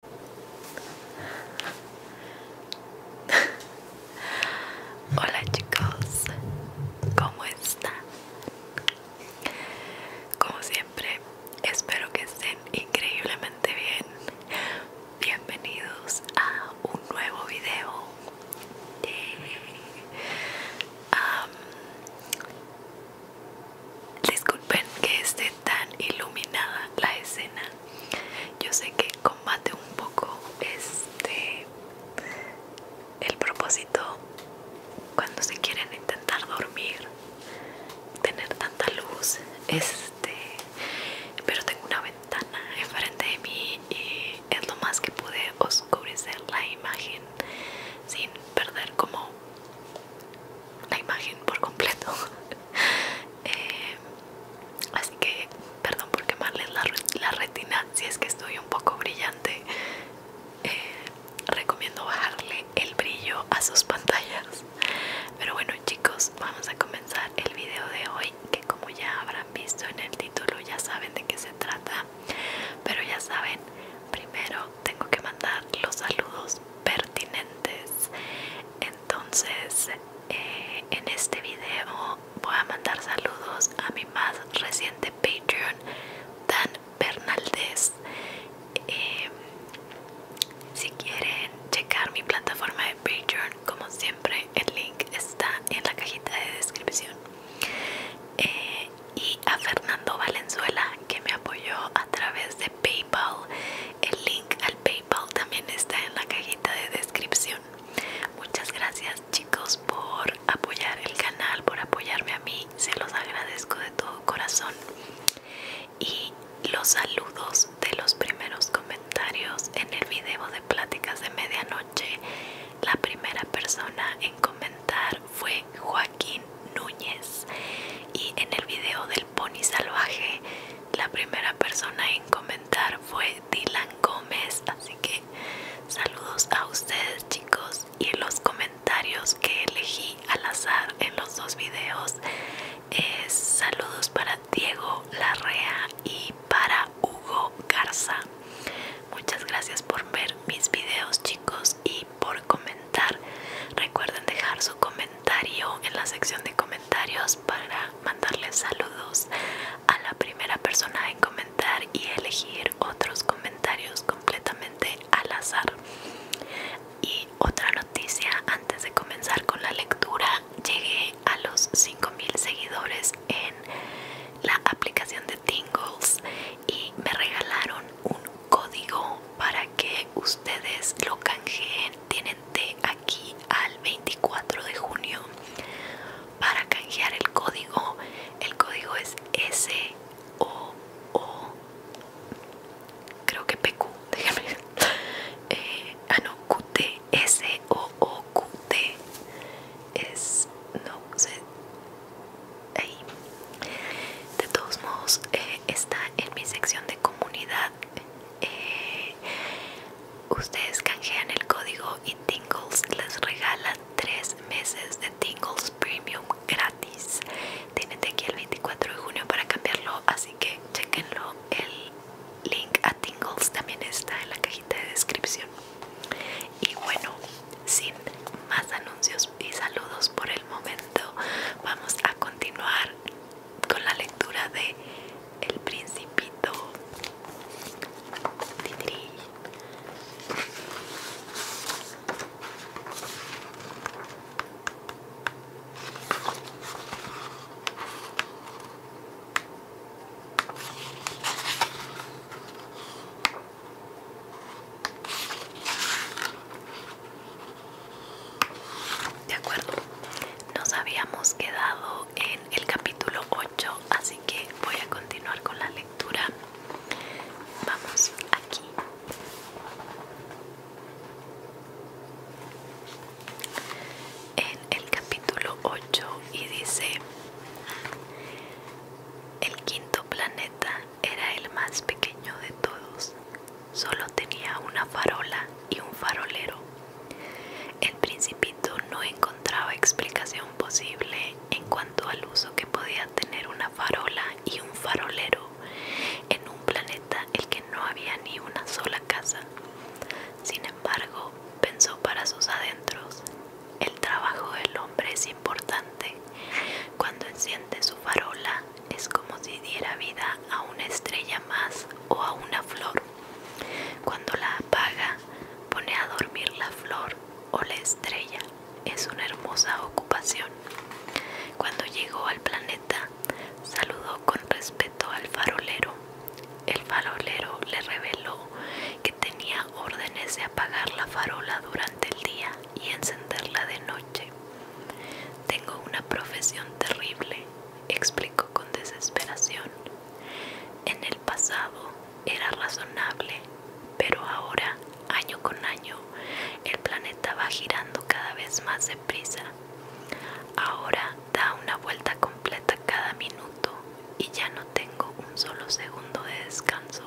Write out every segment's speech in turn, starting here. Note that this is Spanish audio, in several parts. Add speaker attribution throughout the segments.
Speaker 1: Hola chicos, ¿cómo están? Como siempre, espero que estén increíblemente bien. Bienvenidos a un nuevo video. disculpen que esté tan iluminada la escena yo sé que combate un poco este el propósito cuando se quieren intentar dormir tener tanta luz este pero tengo una ventana enfrente de mí y es lo más que pude oscurecer la imagen sin perder como la imagen por completo eh, así que perdón por quemarles la, retina si es que estoy un poco brillante eh, recomiendo bajarle el brillo a sus pantallas pero bueno chicos vamos a comenzar el video de hoy que como ya habrán visto en el título ya saben de qué se trata pero ya saben primero tengo que mandar los saludos pertinentes entonces eh, en este video voy a mandar saludos a mi más reciente Patreon Dan Bernaldez eh, si quieren checar mi plataforma de Patreon como siempre el link está en la cajita de descripción eh, y a Fernando Valenzuela que me apoyó a través de PayPal. El link al PayPal también está en la cajita de descripción. Muchas gracias chicos por apoyar el canal, por apoyarme a mí. Se los agradezco de todo corazón. Y los saludos de los primeros comentarios en el video de pláticas de medianoche. La primera persona en comentar fue Joaquín Núñez y en el video de pony salvaje. La primera persona en comentar fue Dylan Gómez, así que saludos a ustedes chicos y los comentarios que elegí al azar en los dos videos es saludos para Diego Larrea y para Hugo Garza. Muchas gracias por ver mis videos chicos y por comentar. Recuerden dejar su comentario en la sección de comentarios para mandarles saludos a la primera persona en comentar y elegir otros comentarios completamente al azar. Y otra noticia antes de comenzar con la lectura, llegué a los 5000 seguidores en la aplicación de Tingles y me regalaron un código para que ustedes lo canjeen tienen de aquí al 24 de junio para canjear el código el código es S O O creo que PQ déjenme eh, ah no QT S O O t es no sé ahí. De todos modos, eh, está en mi sección de comunidad. Eh, ustedes canjean el código y Tingles les regala tres meses de Tingles Premium gratis. Tienen aquí el 24 de junio para cambiarlo, así que chequenlo. El link a Tingles también está en la cajita de descripción. Y bueno, sin más anuncios y saludos por el momento vamos a continuar con la lectura de El Principito. De acuerdo, nos habíamos quedado en el capítulo 8, así que voy a continuar con la lectura. Vamos aquí. En el capítulo 8 y dice, el quinto planeta era el más pequeño de todos. Solo tenía una farola y un farolero. El principito no encontraba explicación posible en cuanto al uso que podía tener una farola y un farolero en un planeta el que no había ni una sola casa. Sin embargo, pensó para sus adentros, el trabajo del hombre es importante. Cuando enciende su farola, es como si diera vida a una estrella más o a una flor. Cuando la apaga, pone a dormir la flor o la estrella. Es una hermosa ocupación. Cuando llegó al planeta, saludó con respeto al farolero. El farolero le reveló que tenía órdenes de apagar la farola durante el día y encenderla de noche tengo una profesión terrible, explicó con desesperación. En el pasado era razonable, pero ahora, año con año, el planeta va girando cada vez más deprisa. Ahora da una vuelta completa cada minuto y ya no tengo un solo segundo de descanso.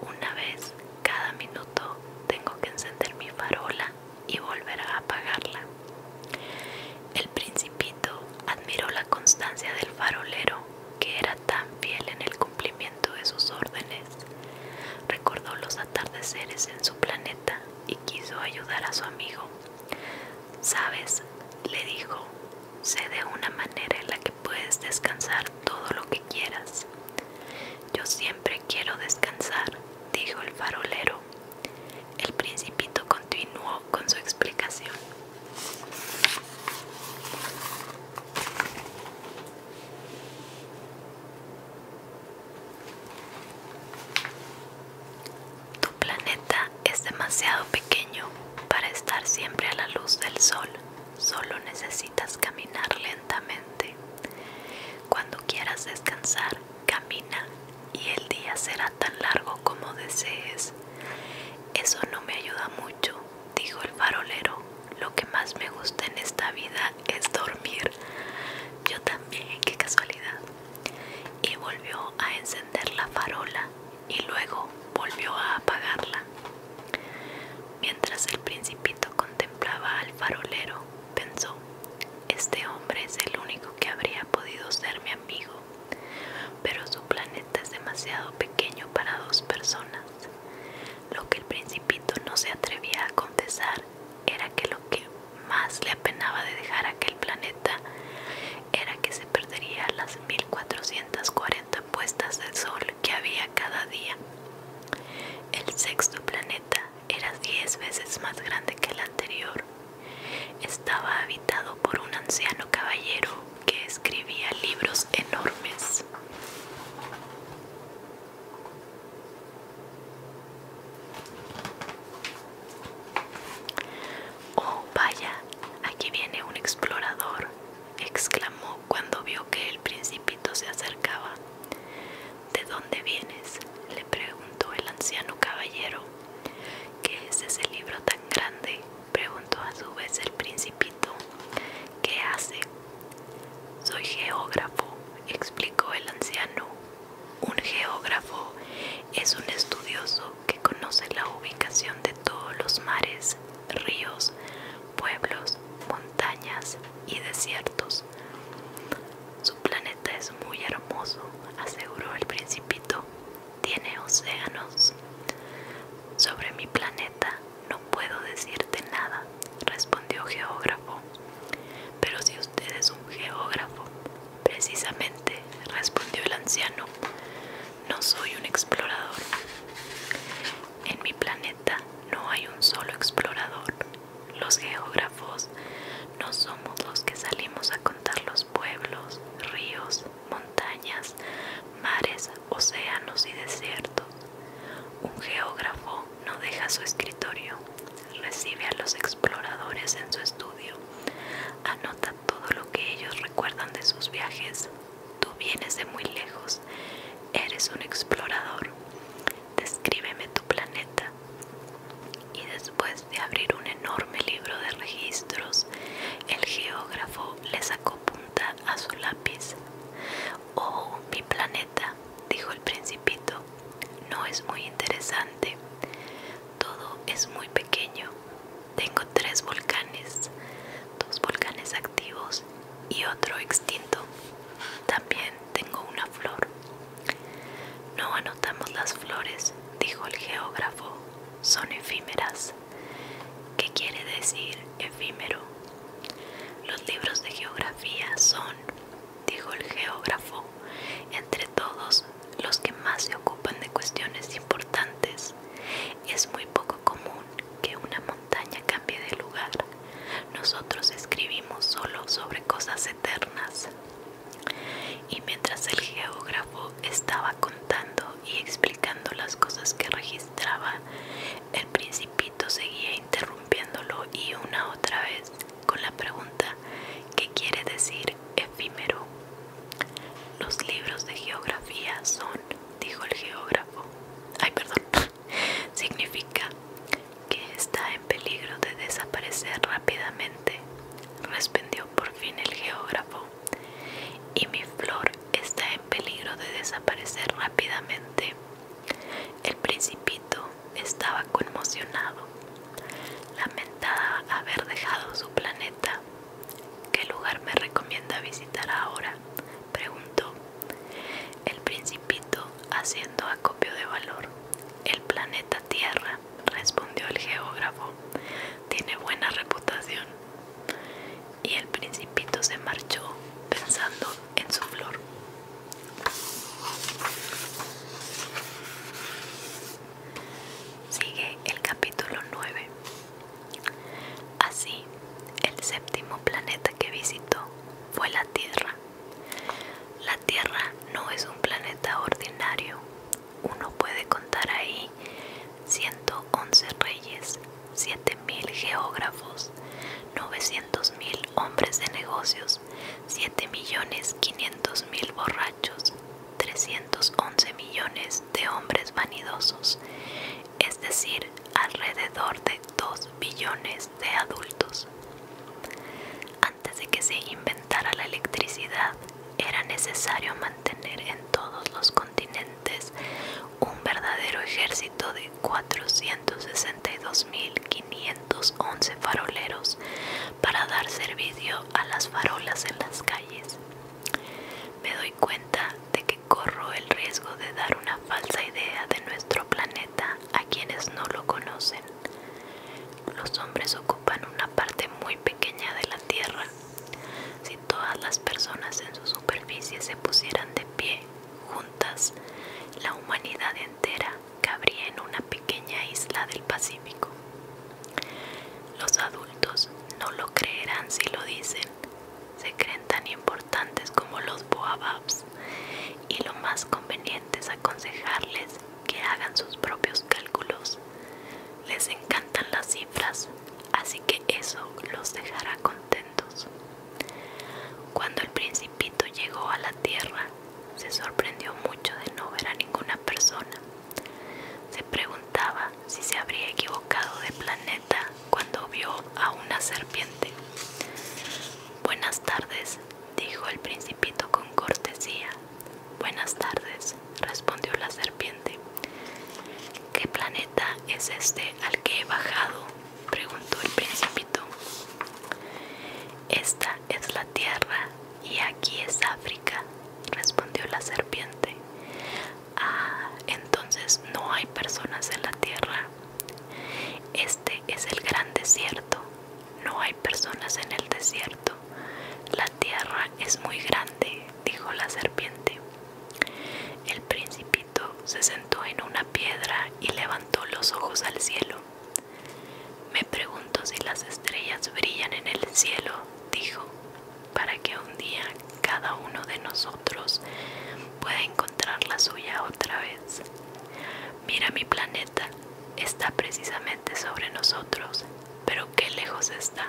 Speaker 1: Una vez cada minuto tengo que encender mi farola y volver a apagarla. El principito admiró la constancia del farolero, que era tan fiel en el cumplimiento de sus órdenes. Recordó los atardeceres en su planeta y quiso ayudar a su amigo. Sabes, le dijo, sé de una manera en la que puedes descansar todo lo que quieras. Yo siempre quiero descansar, dijo el farolero. El principito continuó con su explicación. Tu planeta es demasiado pequeño para estar siempre a la luz del sol, Solo necesitas caminar lentamente. Cuando quieras descansar, camina y el día será tan largo como desees. Eso no me ayuda mucho, dijo el farolero. Lo que más me gusta en esta vida es dormir. Yo también, qué casualidad. Y volvió a encender la farola y luego volvió a apagarla. Mientras el principito contemplaba al farolero, pensó, este hombre es el único que habría podido ser mi amigo, pero su planeta es demasiado pequeño para dos personas. Lo que el principito no se atrevía a confesar era que lo que más le apenaba de dejar aquel planeta era que se perdería las 1440 puestas del sol que había cada día. El sexto planeta era diez veces más grande que el anterior. Estaba habitado por un anciano caballero que escribía libros enormes. Oh, vaya, aquí viene un explorador, exclamó cuando vio que el principito se acercaba. ¿De dónde vienes? le preguntó el anciano caballero. ¿Qué es ese libro tan grande? preguntó a su vez el principito. ¿Qué hace? Soy geógrafo, explicó el anciano. Un geógrafo es un estudioso que conoce la ubicación de todos los mares ríos, pueblos, montañas y desiertos. Su planeta es muy hermoso, aseguró el principito. Tiene océanos. Sobre mi planeta no puedo decirte nada, respondió geógrafo. Pero si usted es un geógrafo, precisamente, respondió el anciano, no soy un explorador. En mi planeta no hay un solo explorador. Los geógrafos no somos los que salimos a contar los pueblos, ríos, montañas, mares, océanos y desiertos. Un geógrafo no deja su escritorio, recibe a los exploradores en su estudio, anota todo lo que ellos recuerdan de sus viajes, Tú vienes de muy lejos, eres un explorador. Descríbeme tu planeta. Y después de abrir un enorme libro de registros, el geógrafo le sacó punta a su lápiz. Oh, mi planeta, dijo el principito, no es muy interesante. Todo es muy pequeño, tengo tres volcanes, dos volcanes activos y otro extinto. También tengo una flor. No anotamos las flores, dijo el geógrafo, son efímeras. ¿Qué quiere decir efímero? Los libros de geografía son, dijo el geógrafo, entre todos los que más se ocupan de cuestiones importantes. Es muy poco común que una montaña cambie de lugar. Nosotros escribimos solo sobre cosas eternas. Y mientras el geógrafo estaba contando y explicando las cosas que registraba, el principito seguía interrumpiéndolo y una otra vez con la pregunta ¿qué quiere decir efímero? Los libros de geografía son dijo el geógrafo, ay perdón, significa que está en peligro de desaparecer rápidamente, respondió por fin el geógrafo, y mi flor está en peligro de desaparecer rápidamente. El principito estaba conmocionado, lamentaba haber dejado su planeta ¿Qué lugar me recomienda visitar ahora? Preguntó. El principito, haciendo acopio de valor. El planeta Tierra, respondió el geógrafo. Tiene buena reputación. Y el principito se marchó pensando en su flor. Sigue el capítulo 9. Así, el séptimo planeta que visitó fue la Tierra. La Tierra no es un planeta ordinario. Uno puede contar ahí 111 reyes, 7.000 geógrafos, 900.000 hombres de negocios, 7.500.000 borrachos, 311 millones de hombres vanidosos, es decir, alrededor de 2 billones de adultos. Antes de que se inventara la electricidad, era necesario mantener en todos los continentes un verdadero ejército de 462.511 faroleros para dar servicio a las farolas en las calles cuenta de que corro el riesgo de dar una falsa idea de nuestro planeta a quienes no lo conocen. Los hombres ocupan una parte muy pequeña de la Tierra. Si todas las personas en su superficie se pusieran de pie, juntas, la humanidad entera cabría en una pequeña isla del Pacífico. Los adultos no lo creerán si lo dicen. Se creen tan importantes como los boababs y lo más conveniente es aconsejarles que hagan sus propios cálculos. Les encantan las cifras, así que eso los dejará contentos. Cuando el principito llegó a la tierra, se sorprendió mucho de no ver a ninguna persona. Se preguntaba si se habría equivocado de planeta cuando vio a una serpiente. Buenas tardes, dijo el principito con cortesía. Buenas tardes, respondió la serpiente. ¿Qué planeta es este al que he bajado? preguntó el principito. Esta es la Tierra, y aquí es África, respondió la serpiente. Ah, entonces no hay personas en la tierra. Este es el gran desierto. No hay personas en el desierto. La tierra es muy grande, dijo la serpiente. El principito se sentó en una piedra y levantó los ojos al cielo. Me pregunto si las estrellas brillan en el cielo, dijo para que un día cada uno de nosotros pueda encontrar la suya otra vez. Mira mi planeta, está precisamente sobre nosotros, pero qué lejos está.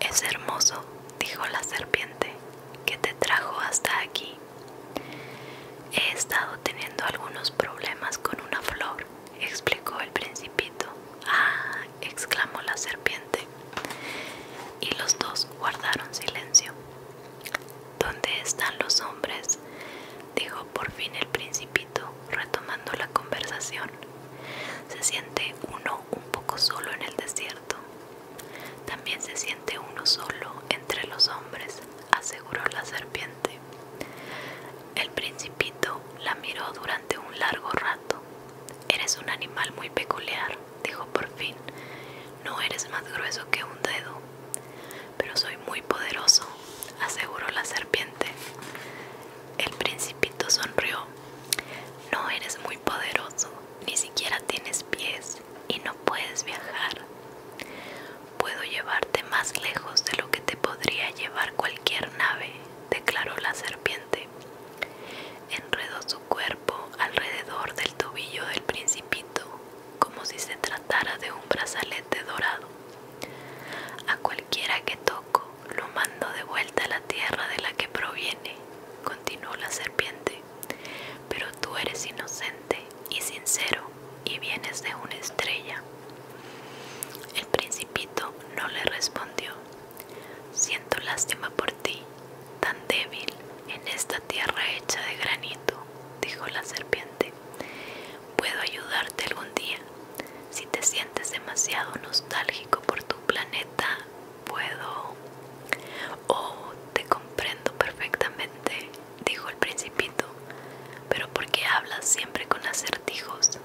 Speaker 1: Es hermoso, dijo la serpiente. —¿Qué te trajo hasta aquí. He estado teniendo algunos problemas con una flor, explicó el principito. Ah, exclamó la serpiente. Y los dos guardaron silencio. ¿Dónde están los hombres? dijo por fin el principito, retomando la conversación. Se siente uno un poco solo en el desierto. También se siente uno solo entre los hombres, aseguró la serpiente. El principito la miró durante un largo rato. Eres un animal muy peculiar, dijo por fin. No eres más grueso que un dedo. Pero soy muy poderoso, aseguró la serpiente. El principito sonrió. No eres muy poderoso, ni siquiera tienes pies y no puedes viajar. Puedo llevarte más lejos de lo que te podría llevar cualquier nave, declaró la serpiente. Enredó su cuerpo alrededor del tobillo del principito, como si se tratara de un brazalete dorado. A cualquiera que toco lo mando de vuelta a la tierra de la que proviene, continuó la serpiente, pero tú eres inocente y sincero y vienes de una estrella. El principito no le respondió, siento lástima por ti, tan débil en esta tierra hecha de granito, dijo la serpiente. Puedo ayudarte algún día si te sientes demasiado nostálgico por tu planeta puedo oh te comprendo perfectamente dijo el principito pero ¿por qué hablas siempre con acertijos?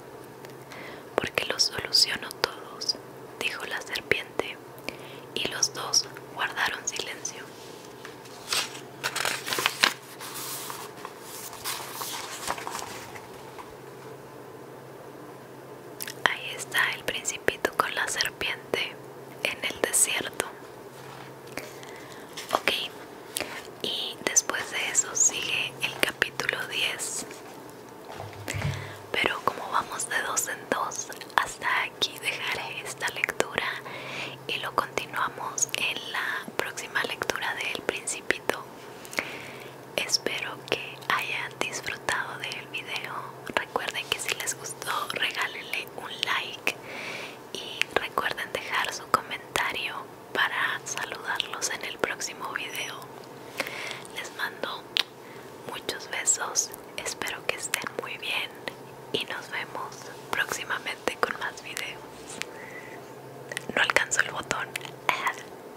Speaker 1: porque los soluciono todos dijo la serpiente y los dos guardaron silencio Ahí está el principito con la serpiente en el desierto. Ok, y después de eso sigue el capítulo 10. Pero como vamos de dos en dos, hasta aquí dejaré esta lectura y lo continuamos en la próxima lectura del principito espero que hayan disfrutado del video recuerden que si les gustó regálenle un like y recuerden dejar su comentario para saludarlos en el próximo video les mando muchos besos espero que estén muy bien y nos vemos próximamente con más videos no alcanzo el botón